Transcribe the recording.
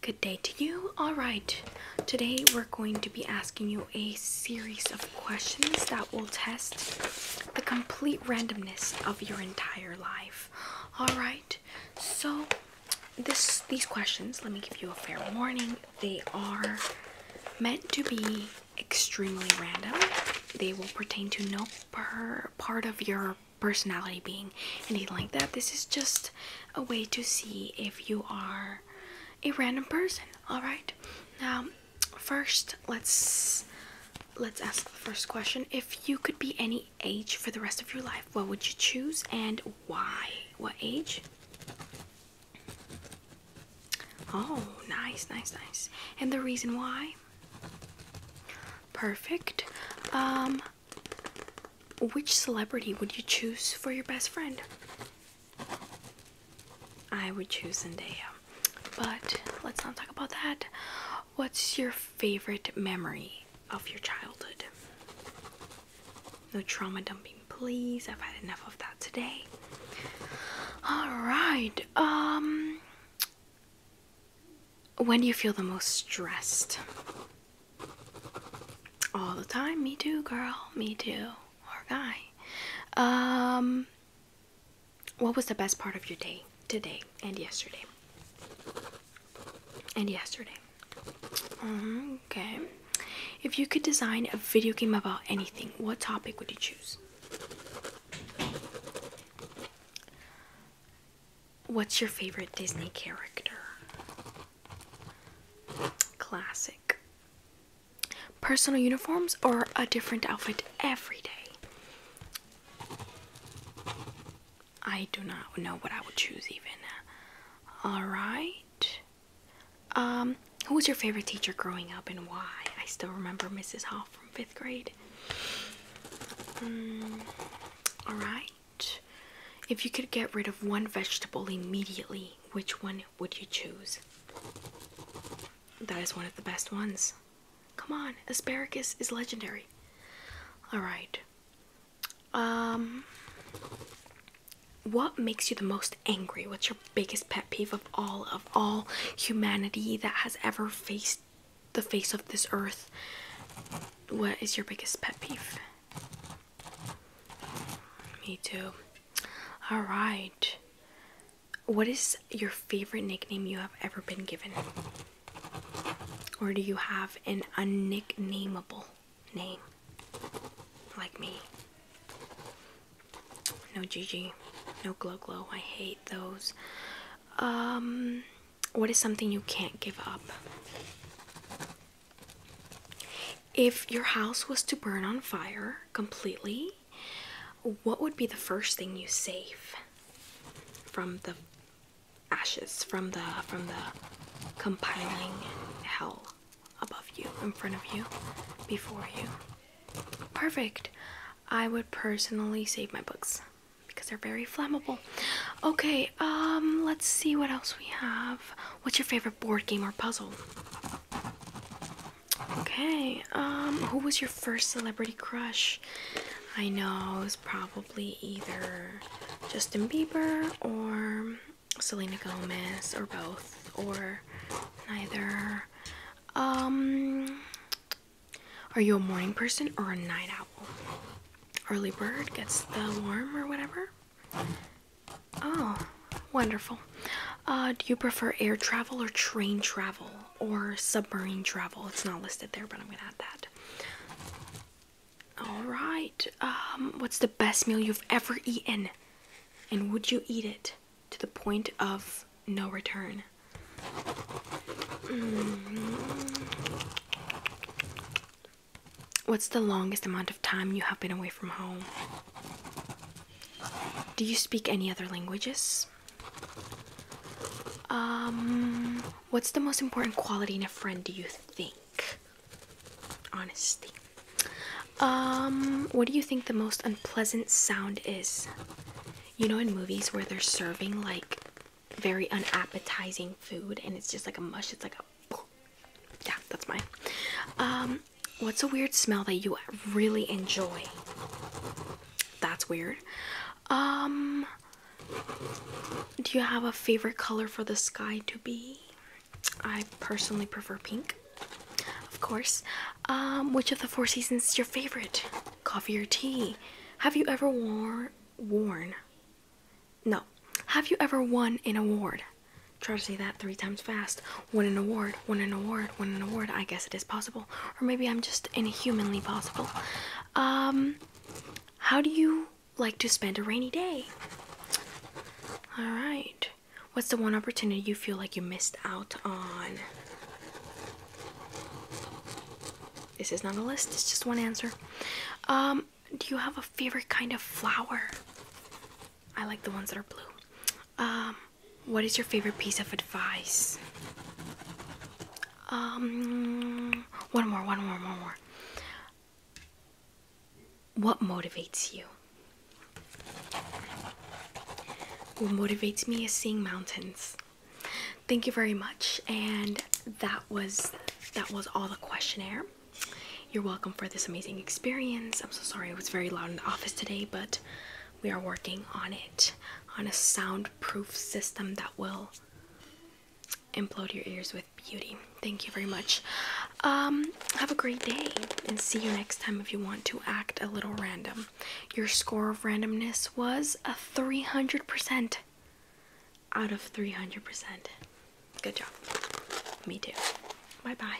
Good day to you. All right, today we're going to be asking you a series of questions that will test the complete randomness of your entire life. All right, so this these questions, let me give you a fair warning, they are meant to be extremely random. They will pertain to no per part of your personality being anything like that. This is just a way to see if you are a random person. All right. Now, first, let's let's ask the first question. If you could be any age for the rest of your life, what would you choose and why? What age? Oh, nice, nice, nice. And the reason why? Perfect. Um, which celebrity would you choose for your best friend? I would choose Zendaya. But let's not talk about that. What's your favorite memory of your childhood? No trauma dumping, please. I've had enough of that today. All right. Um when do you feel the most stressed? All the time. Me too, girl. Me too. Or guy. Um, what was the best part of your day today and yesterday? And yesterday. Okay. If you could design a video game about anything, what topic would you choose? What's your favorite Disney character? Classic. Personal uniforms or a different outfit every day? I do not know what I would choose even. Alright. Um, who was your favorite teacher growing up and why? I still remember Mrs. Hall from fifth grade. Mm, all right. If you could get rid of one vegetable immediately, which one would you choose? That is one of the best ones. Come on, asparagus is legendary. All right. Um what makes you the most angry? What's your biggest pet peeve of all of all humanity that has ever faced the face of this earth? What is your biggest pet peeve? Me too. All right. What is your favorite nickname you have ever been given? Or do you have an unnicknameable? name. Like me. No Gigi. No Glow Glow. I hate those. Um, what is something you can't give up? If your house was to burn on fire completely, what would be the first thing you save from the ashes, from the from the compiling hell? above you, in front of you, before you. Perfect. I would personally save my books because they're very flammable. Okay, um, let's see what else we have. What's your favorite board game or puzzle? Okay, um, who was your first celebrity crush? I know it's probably either Justin Bieber or Selena Gomez or both or neither. Um, are you a morning person or a night owl? Early bird gets the worm or whatever. Oh, wonderful. Uh, do you prefer air travel or train travel or submarine travel? It's not listed there, but I'm gonna add that. All right. Um, what's the best meal you've ever eaten? And would you eat it to the point of no return? Mm-hmm. What's the longest amount of time you have been away from home? Do you speak any other languages? Um, What's the most important quality in a friend, do you think? Honesty. Um, what do you think the most unpleasant sound is? You know, in movies where they're serving like very unappetizing food and it's just like a mush, it's like a. Yeah, that's mine. Um, what's a weird smell that you really enjoy? That's weird. Um, do you have a favorite color for the sky to be? I personally prefer pink, of course. Um, which of the four seasons is your favorite? Coffee or tea? Have you ever wore, worn? No. Have you ever won an award? Try to say that three times fast. Win an award, Win an award, Win an award. I guess it is possible or maybe I'm just inhumanly possible. Um, how do you like to spend a rainy day? All right. What's the one opportunity you feel like you missed out on? This is not a list, it's just one answer. Um, do you have a favorite kind of flower? I like the ones that are blue. Um, what is your favorite piece of advice? Um, one more, one more, one more. What motivates you? What motivates me is seeing mountains. Thank you very much, and that was that was all the questionnaire. You're welcome for this amazing experience. I'm so sorry I was very loud in the office today, but we are working on it on a soundproof system that will implode your ears with beauty. Thank you very much. Um, have a great day and see you next time if you want to act a little random. Your score of randomness was a 300% out of 300%. Good job. Me too. Bye bye.